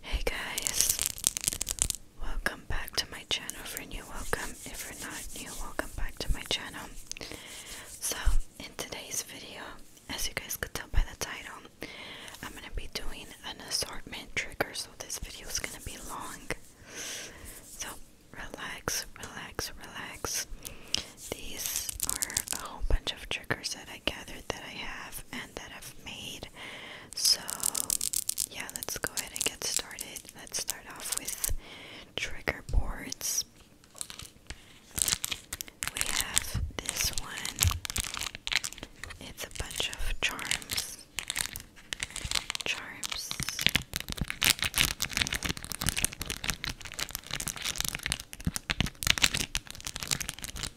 Hey guys, welcome back to my channel for new welcome. If you're not new, welcome back to my channel. So, in today's video, as you guys could tell by the title, I'm gonna be doing an assortment trigger, so this video is gonna be long. So, relax, relax, relax. These are a whole bunch of triggers that I gathered that I have, that I've made. So, yeah, let's go ahead and get started. Let's start off with trigger boards. We have this one, it's a bunch of charms. Charms.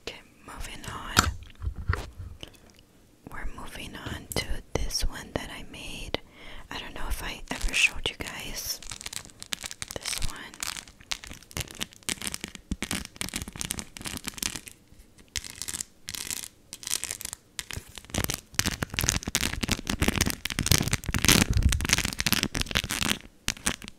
Okay, moving on. We're moving on to this one that I made. I don't know if I ever showed you guys this one.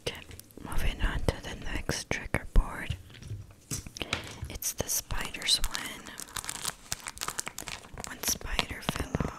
Okay, moving on to the next trigger board. It's the spider's one. One spider fell off.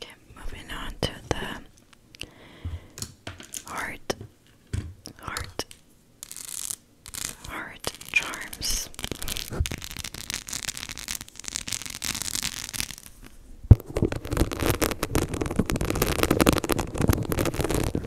Okay, moving on to the heart, heart, heart charms.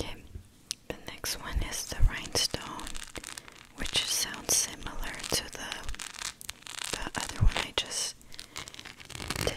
Okay, the next one is the rhinestone which sounds similar to the the other one I just did.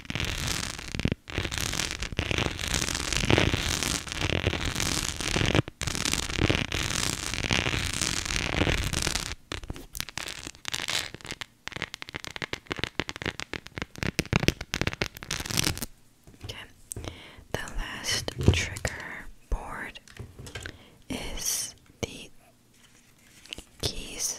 the last trigger board is the keys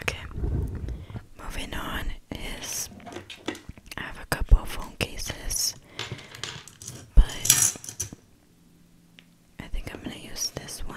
Okay, moving on is I have a couple of phone cases, but I think I'm going to use this one.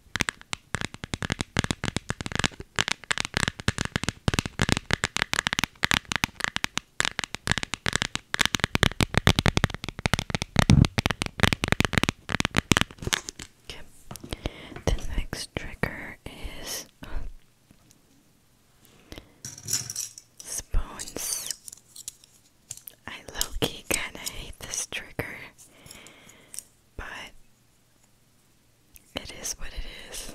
Okay. The next trigger is uh, spoons. I low kinda hate this trigger, but it is what it is.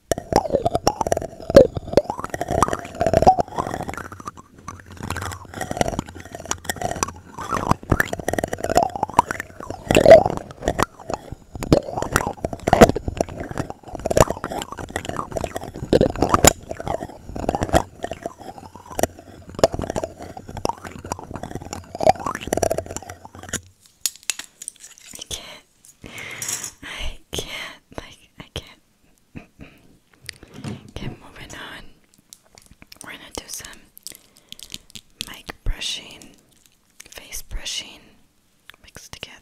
I can't. I can't. like I can't get moving on. We're gonna do some mic brushing, face brushing mixed together.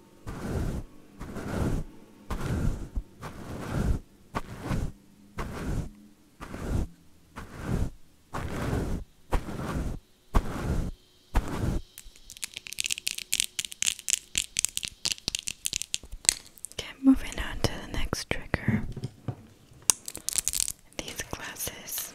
Okay, moving on to the next trigger. These glasses.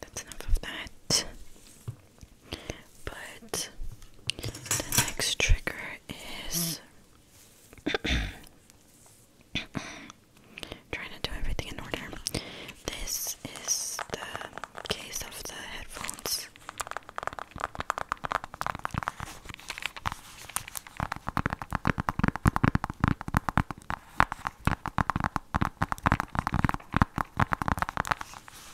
That's enough of that. But the next trigger is trying to do everything in order. This is the case of the headphones.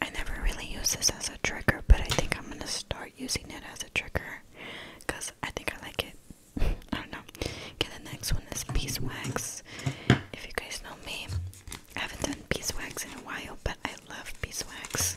I never really use this as a trigger, but I think I'm gonna start using it as a trigger because I think I like it. I don't know. Okay, the next one is beeswax. If you guys know me, I haven't done beeswax in a while, but I love beeswax.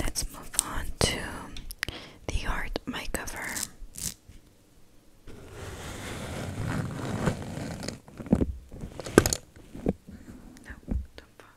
Let's move on to the art my cover. No, don't fall.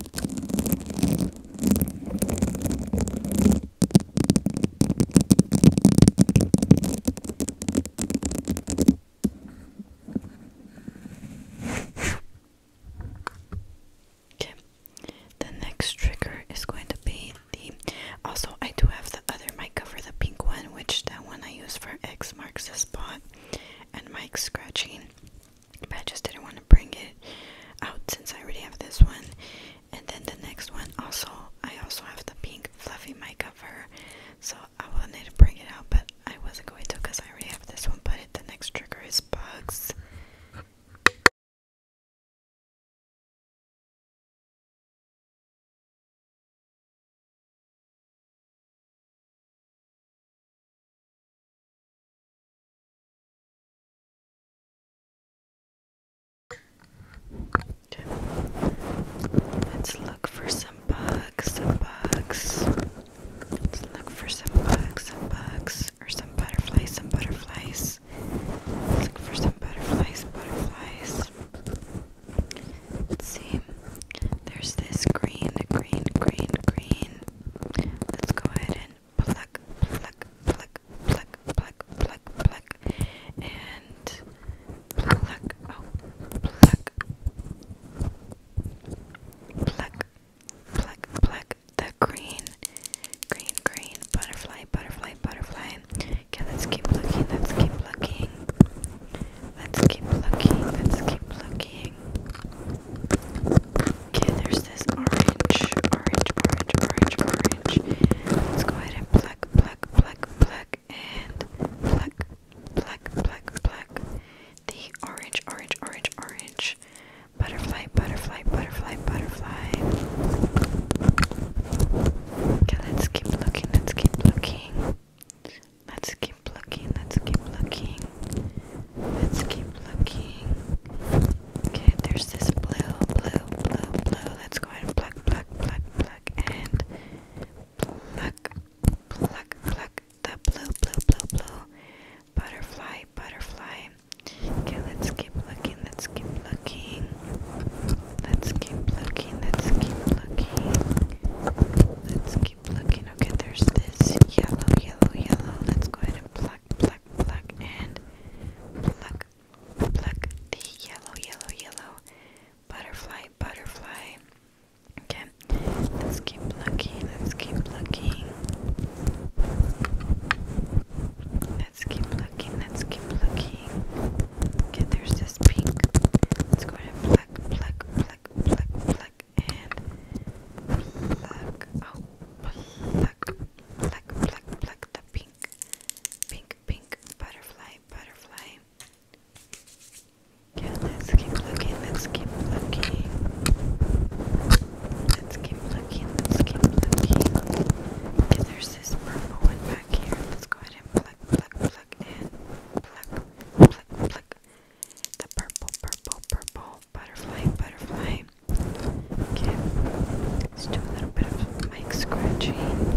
Okay, the next trigger is going to be the. Also, I do have the other mic cover, the pink one, which that one I use for X marks the spot and mic scratching but I just didn't want to bring it out since I already have this one. And then the next one also, I also have the pink fluffy mic cover, so I wanted to bring it out, but I wasn't going to because I already have this one. But the next trigger is bugs. Let's look for some bugs, some bugs. Let's look for some bugs, some bugs, or some butterflies, some butterflies. look for some butterflies, butterflies. see. There's this green, green, green, green. Let's go ahead and pluck, pluck, pluck, pluck, pluck, pluck, pluck, and pluck, oh, pluck, pluck, pluck, pluck the green, green, green butterfly, butterfly, butterfly. Okay, let's keep looking, let's keep looking, let's keep looking, let's keep looking. Okay, there's this orange, orange, orange, orange, orange. Let's go ahead and pluck, pluck, pluck, pluck, and pluck, pluck, pluck, pluck. The orange, orange, orange, orange. Butterfly, butterfly, butterfly, butterfly. Okay, let's keep looking, let's keep looking. Let's keep looking, let's keep looking. Let's keep looking. Okay, there's this blue, blue, blue, blue. Let's go ahead and pluck, pluck, pluck, pluck, and pluck, pluck, pluck the blue, blue, blue, blue. Butterfly, butterfly. Okay, let's keep looking, let's keep looking. Let's keep looking, let's keep looking. Let's keep looking. Okay, there's this yellow, yellow, yellow. Let's go ahead and pluck, pluck, pluck, and pluck, pluck the yellow, yellow, yellow butterfly, butterfly. Okay, let's keep plucking. Let's keep plucking. Let's keep looking, let's keep looking. Okay, there's this pink. Let's go ahead and pluck, pluck, pluck, pluck, pluck, pluck and pluck oh pluck pluck pluck pluck the pink pink pink butterfly butterfly yeah let's keep looking let's keep looking let's keep looking let's keep looking okay there's this purple one back here let's go ahead and pluck pluck pluck and pluck pluck pluck the purple, purple, purple butterfly, butterfly. Okay, let's do a little bit of mic scratching. Oh.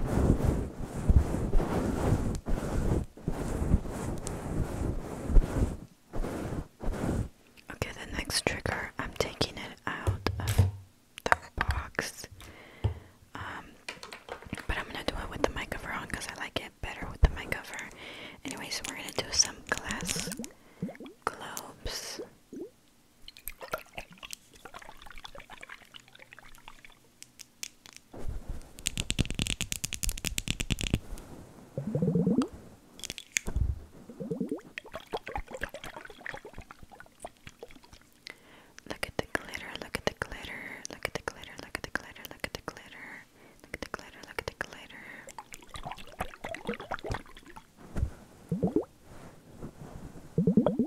Okay, the next trigger, I'm taking it out of the box. Um, but I'm gonna do it with the mic cover on because I like it better with the mic cover. Anyway, so we're gonna do some glass globes. Look at the glitter, look at the glitter, look at the glitter, look at the glitter, look at the glitter, look at the glitter, look at the glitter.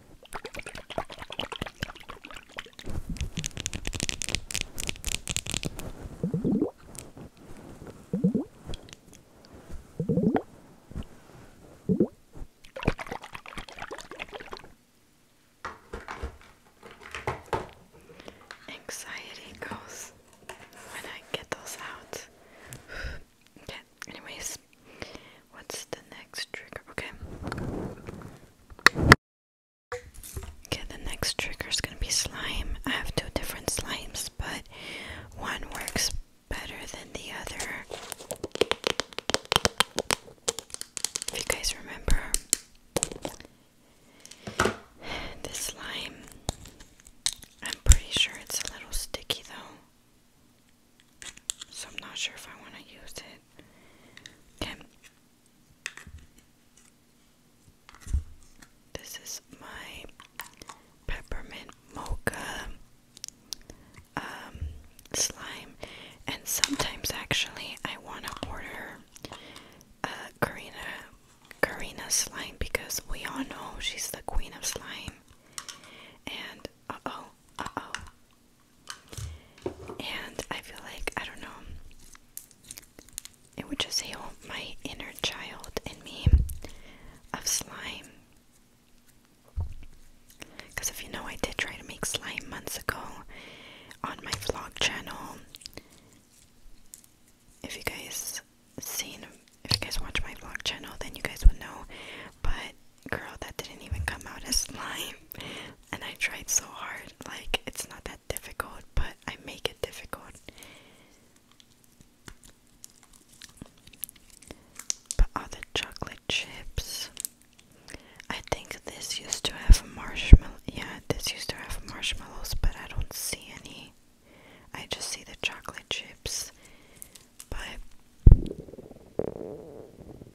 Anxiety goes when I get those out. Okay, anyways, what's the next trigger? Okay. Okay, the next trigger is gonna be slime. I have two different slimes, but one works better than the other. If you guys remember, this slime, I'm pretty sure it's a little sticky though. So I'm not sure if I want to use it. Okay. This is my peppermint mocha um, slime, and sometimes actually I want to order a uh, Karina Karina slime because we all know she's the queen of slime. And uh oh, uh oh, and I feel like, I don't know, it would just heal my inner child in me of slime. Because if you know, I did try to make slime months ago on my vlog channel. If you guys seen, if you guys watch my vlog channel, then you guys would know. But Girl, that didn't even come out as slime. And I tried so hard. Like, it's not that difficult, but I make it difficult. But all the chocolate chips. I think this used to have marshmallow. Yeah, this used to have marshmallows, but I don't see any. I just see the chocolate chips. But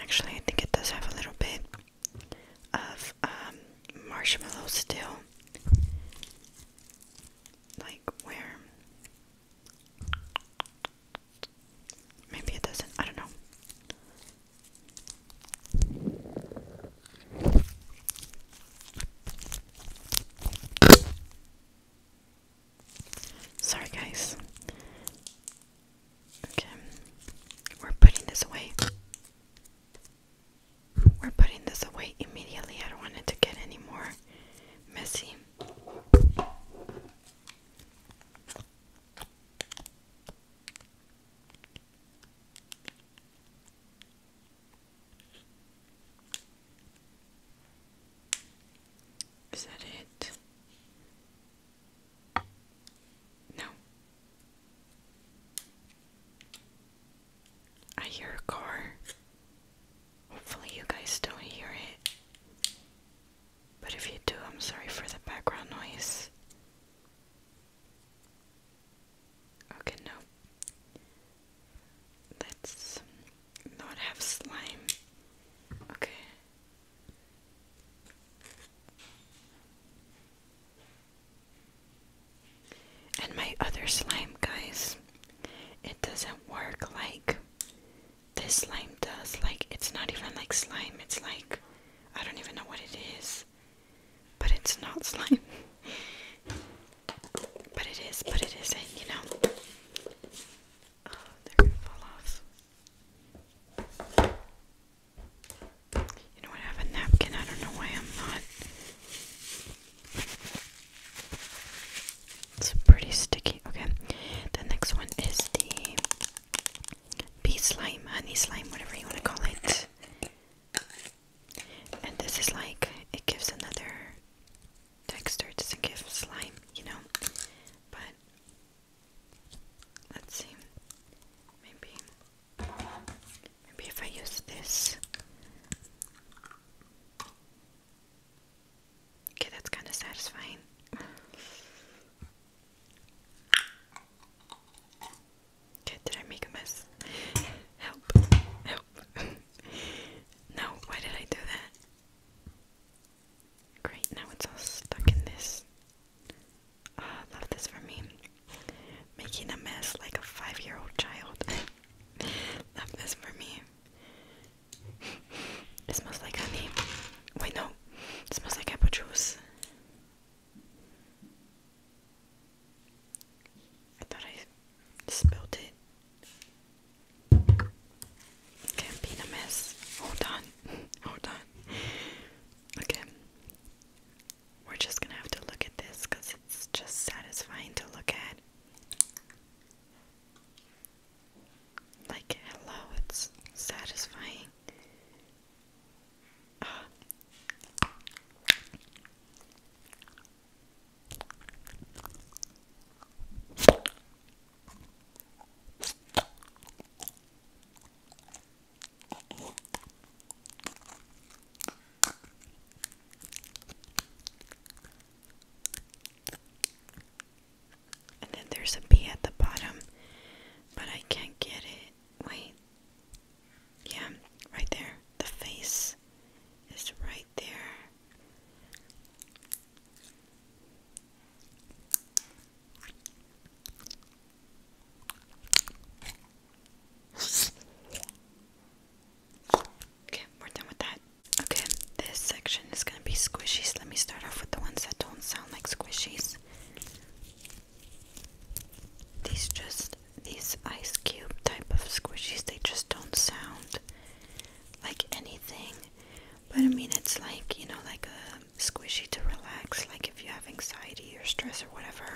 Actually, I think it does have a little bit of um, marshmallow still, like where maybe it doesn't. I don't know. Sorry, guys. Okay, we're putting this away. We're putting this away immediately. I don't want it to get any more messy. Is that it? No. I hear a car. Hopefully, you guys don't hear it. But if you do, I'm sorry for the background noise. Okay, no. Let's not have slime. Okay. And my other slime, guys, it doesn't work like this slime does. Like, it's not even like slime, it's like I don't even know what it is, but it's not slime. but it is, but it isn't, you know. Oh, they're gonna fall off. You know I have a napkin. I don't know why I'm not. It's pretty sticky. Okay. The next one is the bee slime, honey slime, whatever you want to call it. And this is like, it gives another texture to give slime, you know. But let's see. Maybe maybe if I use this. Okay, that's kind of satisfying. Okay, did I make a mess? Help! Help! no, why did I do that? Great, now it's all stuck in this. Ah, love this for me. Making a mess like a five year old child. love this for me. It smells like honey. Wait, no. It smells like apple juice. I thought I spilled it. Can't be a mess. Hold on. Hold on. Okay. We're just gonna have to look at this because it's just satisfying to look at. Like, hello, it's satisfying. And then there's a B at the bottom, but I can't get it. Wait. Yeah, right there. The face is right there. Okay, we're done with that. Okay, this section is gonna be squishies. Let me start off with the ones that don't sound like squishies. These just, these ice cube type of squishies, they just don't sound like anything but I mean, it's like, you know, like a um, squishy to relax, like if you have anxiety or stress or whatever.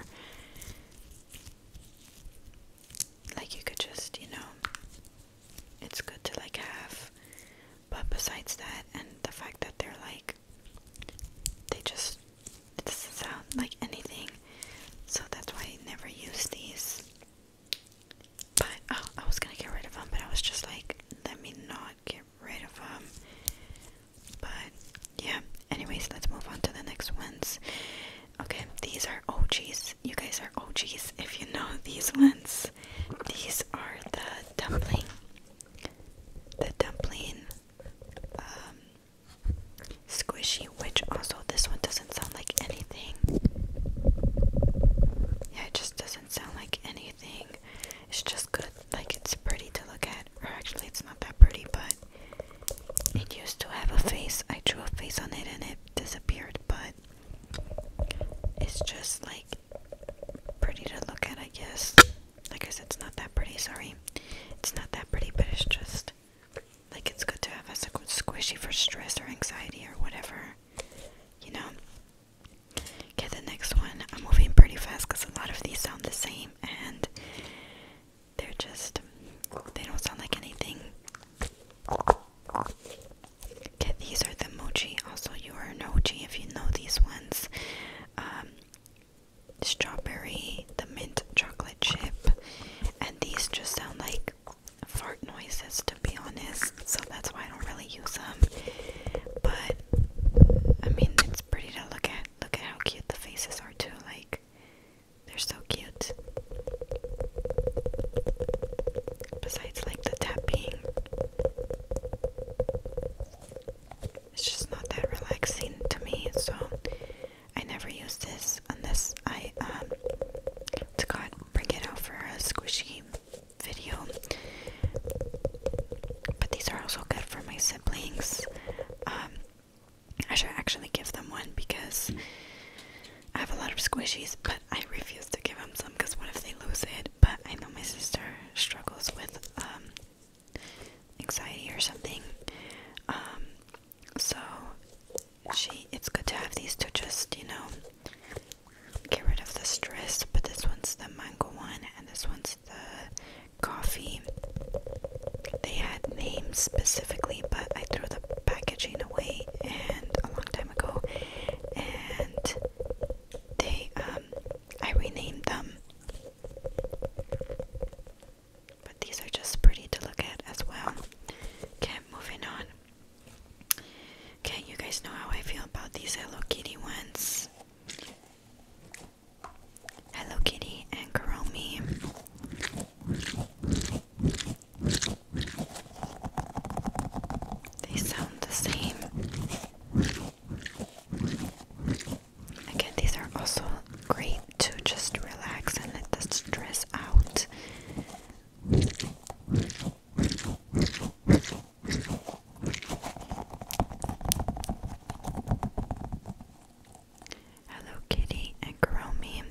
Like you could just, you know, it's good to like have. But besides that, and the fact that they're like, they just, it doesn't sound like anything. So that's why I never use these. But oh, I was gonna get rid of them, but I was just like, let me not get rid of them. But yeah, anyways, let's move on to the next ones. Okay, these are OGs. You guys are OGs if you know these ones. These are the dumpling. The dumpling um, squishy, which also this one doesn't sound like anything. Yeah, it just doesn't sound like anything. It's just good. Like it's pretty to look at. Or actually it's not that pretty, but it used to have a face. I drew a face on it and it disappeared, but it's just like pretty to look at, I guess. Like I said, it's not that pretty, sorry. It's not that pretty, but it's just like it's good to have as a good squishy for stress or anxiety or whatever. You know? Okay, the next one. I'm moving pretty fast because a lot of these sound the same and they're just, they don't sound like anything. Okay, these are the mochi. Also, you are an mochi if you know these ones. Um, strawberry, the mint chocolate chip, and these just sound like fart noises to be honest so that's why I don't really use them. But I mean, it's pretty to look at. Look at how cute the faces are too. Like they're so cute. Besides, like the tapping, it's just not that relaxing to me. So I never use this unless I um to God bring it out for a squishy video. But these are also good for my siblings. Um, I should actually give them one because I have a lot of squishies, but I refuse to give them some because what if they lose it? But I know my sister struggles with um, anxiety or something. Um, so she, it's good to have these to just, you know, get rid of the stress, but this one's the mango one and this one's the coffee. They had names specifically, but I threw the packaging away and a long time ago, and they um I renamed them. But these are just pretty to look at as well. Okay, moving on. Okay, you guys know how I feel about these Hello Kitty ones. Hello Kitty and Karomi. They sound the same. Again, these are also great to just relax and let the stress out. Hello Kitty and Karomi.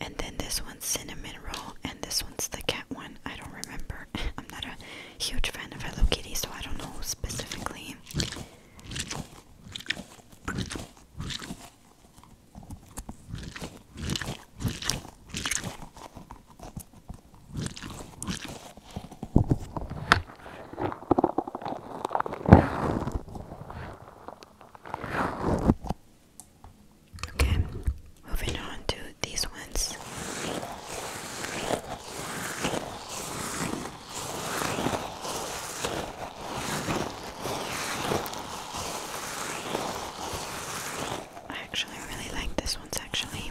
And then this one's cinnamon roll and this one's the cat one. I don't remember. I'm not a huge fan of Hello Kitty, so I don't know specifically. Okay, moving on to these ones. I actually really like this one's actually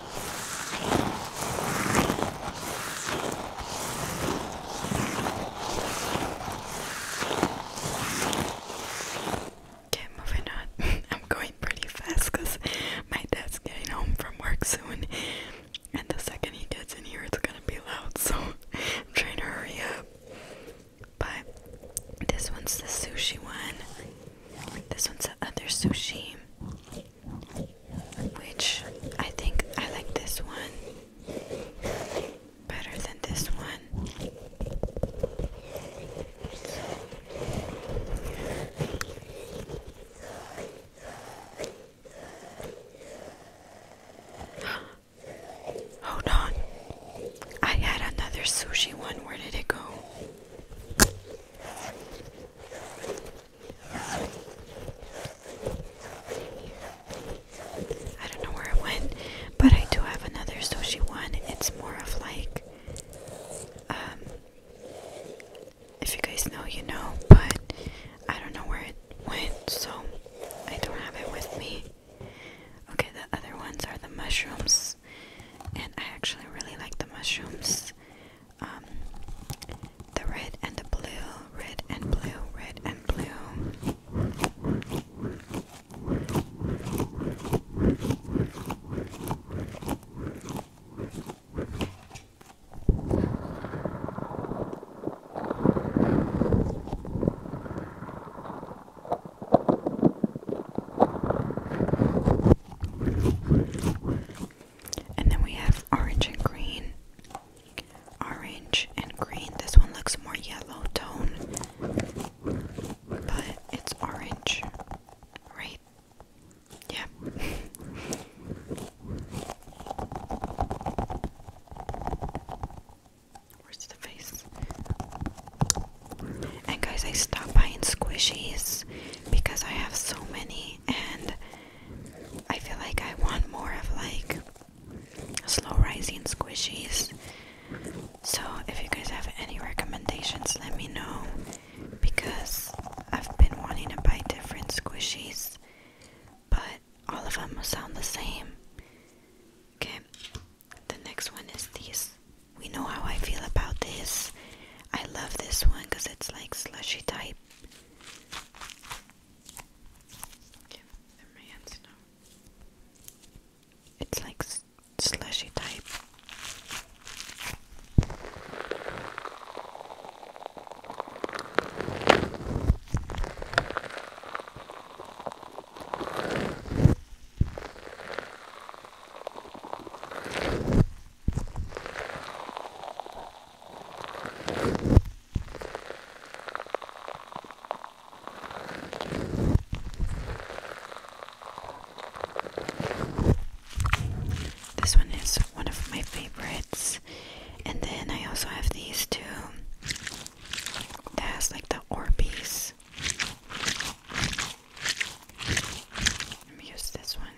Okay, moving on. I'm going pretty fast because my dad's getting home from work soon, and the second he gets in here, it's gonna be loud, so I'm trying to hurry up. But this one's the sushi one, this one's the other sushi which I think I like this one better than this one. Hold on. I had another sushi one. Where did it go? I don't know where it went, but I do have another sushi one. It's more of like, um, if you guys know, you know, but I don't know where it went, so I don't have it with me. Okay, the other ones are the mushrooms, and I actually really like the mushrooms. Um, the red and the blue, red and blue, red and blue. And then we have orange and green. Orange and green. This one looks more yellow tone, but it's orange, right? Yeah. Where's the face? And guys, I stopped buying squishies because I have so many and I feel like I want more of like slow rising squishies. So if you guys have any recommendations, let me know because I've been wanting to buy different squishies, but all of them sound the same. Okay, the next one is these. We know how I feel about this. I love this one because it's like slushy type. It's like slushy type. This one is one of my favorites, and then I also have these two that has like the Orbeez. Let me use this one.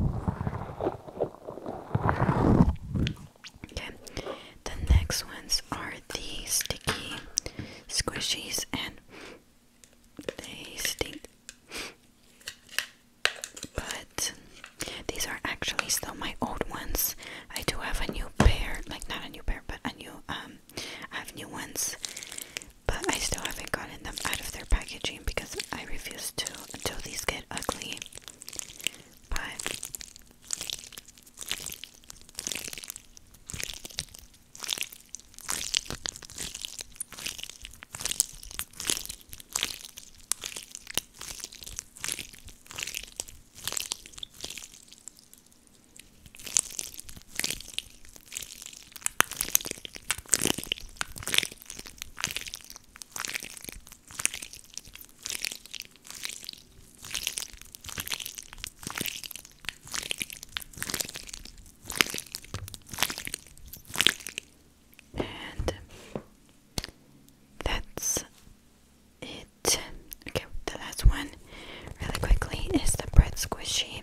Okay, the next ones are the sticky squishies, and they stink. But these are actually still my old ones. I do have a new pair, like not a new pair, but a new um, I have new ones, but I still haven't gotten them out of their packaging because I refuse to until these get ugly. But and that's it. Okay, the last one, really quickly, is the bread squishy.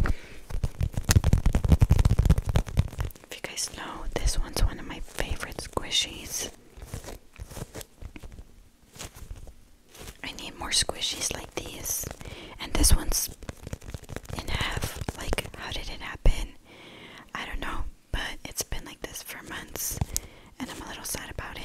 If you guys know, this one's one of my favorite squishies. I need more squishies like these. And this one's in half. Like, how did it happen? I don't know, but it's been like this for months, and I'm a little sad about it.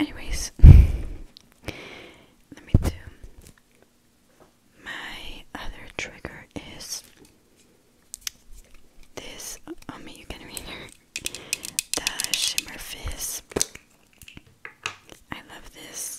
Anyways, let me do my other trigger is this. Oh, me, you can read her. The Shimmer Fizz. I love this.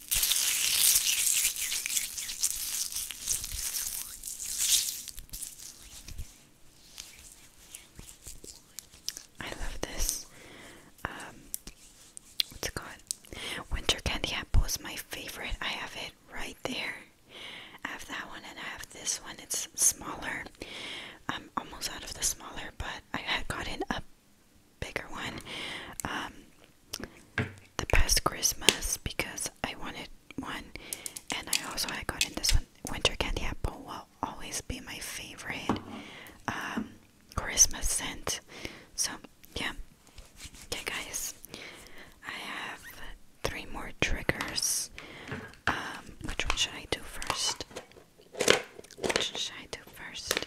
I love this. Um, what's it called? Winter Candy Apple is my favorite. I have it right there. I have that one and I have this one. It's smaller. I'm um, almost out of the smaller, but I had gotten up bigger one um, the past Christmas because I wanted one, and I also I got in this one. Winter candy apple will always be my favorite um, Christmas scent. So yeah, okay guys, I have three more triggers. Um, which one should I do first? Which should I do first?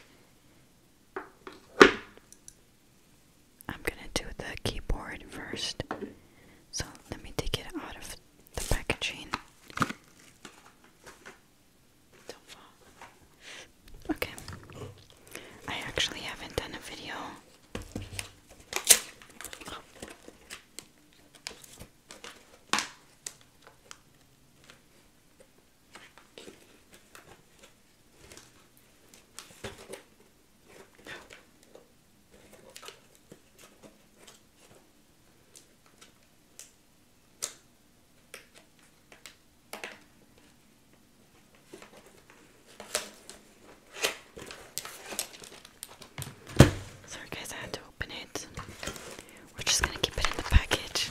I'm gonna do the keyboard first. So let me take it out of the packaging. Okay. I actually haven't done a video. Sorry guys, I had to open it. We're just gonna keep it in the package.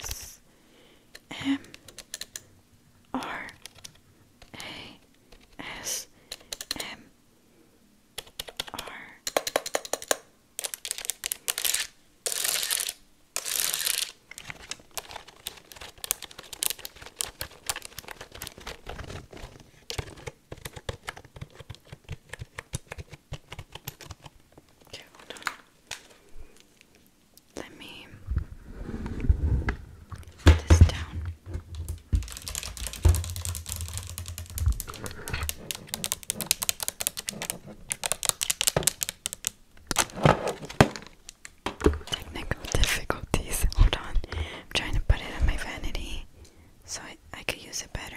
S M R A S M R Okay, hold on. Let me put this down. Technical difficulties. Hold on. I'm trying to put it on my vanity so I, I could use it better.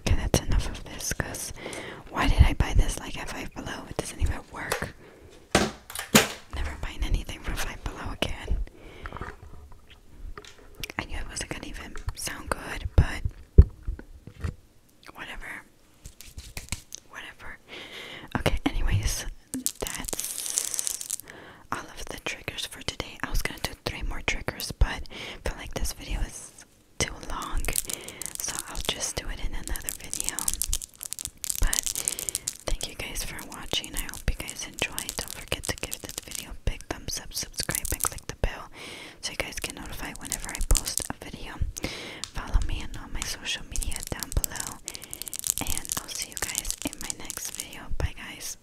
Okay, that's enough of this, because why did I buy this like at Five Below? It doesn't even work. Never buying anything from Five Below again. I knew it wasn't gonna even sound good, but whatever. Whatever. Okay, anyways, that's all of the triggers for today. I was gonna do three more triggers, but feel like this video is too long, so I'll just do it in another video. But thank you guys for watching. I hope you guys enjoyed. Don't forget to give this video a big thumbs up, subscribe, and click the bell so you guys get notified whenever I post a video. Follow me on all my social media down below, and I'll see you guys in my next video. Bye, guys.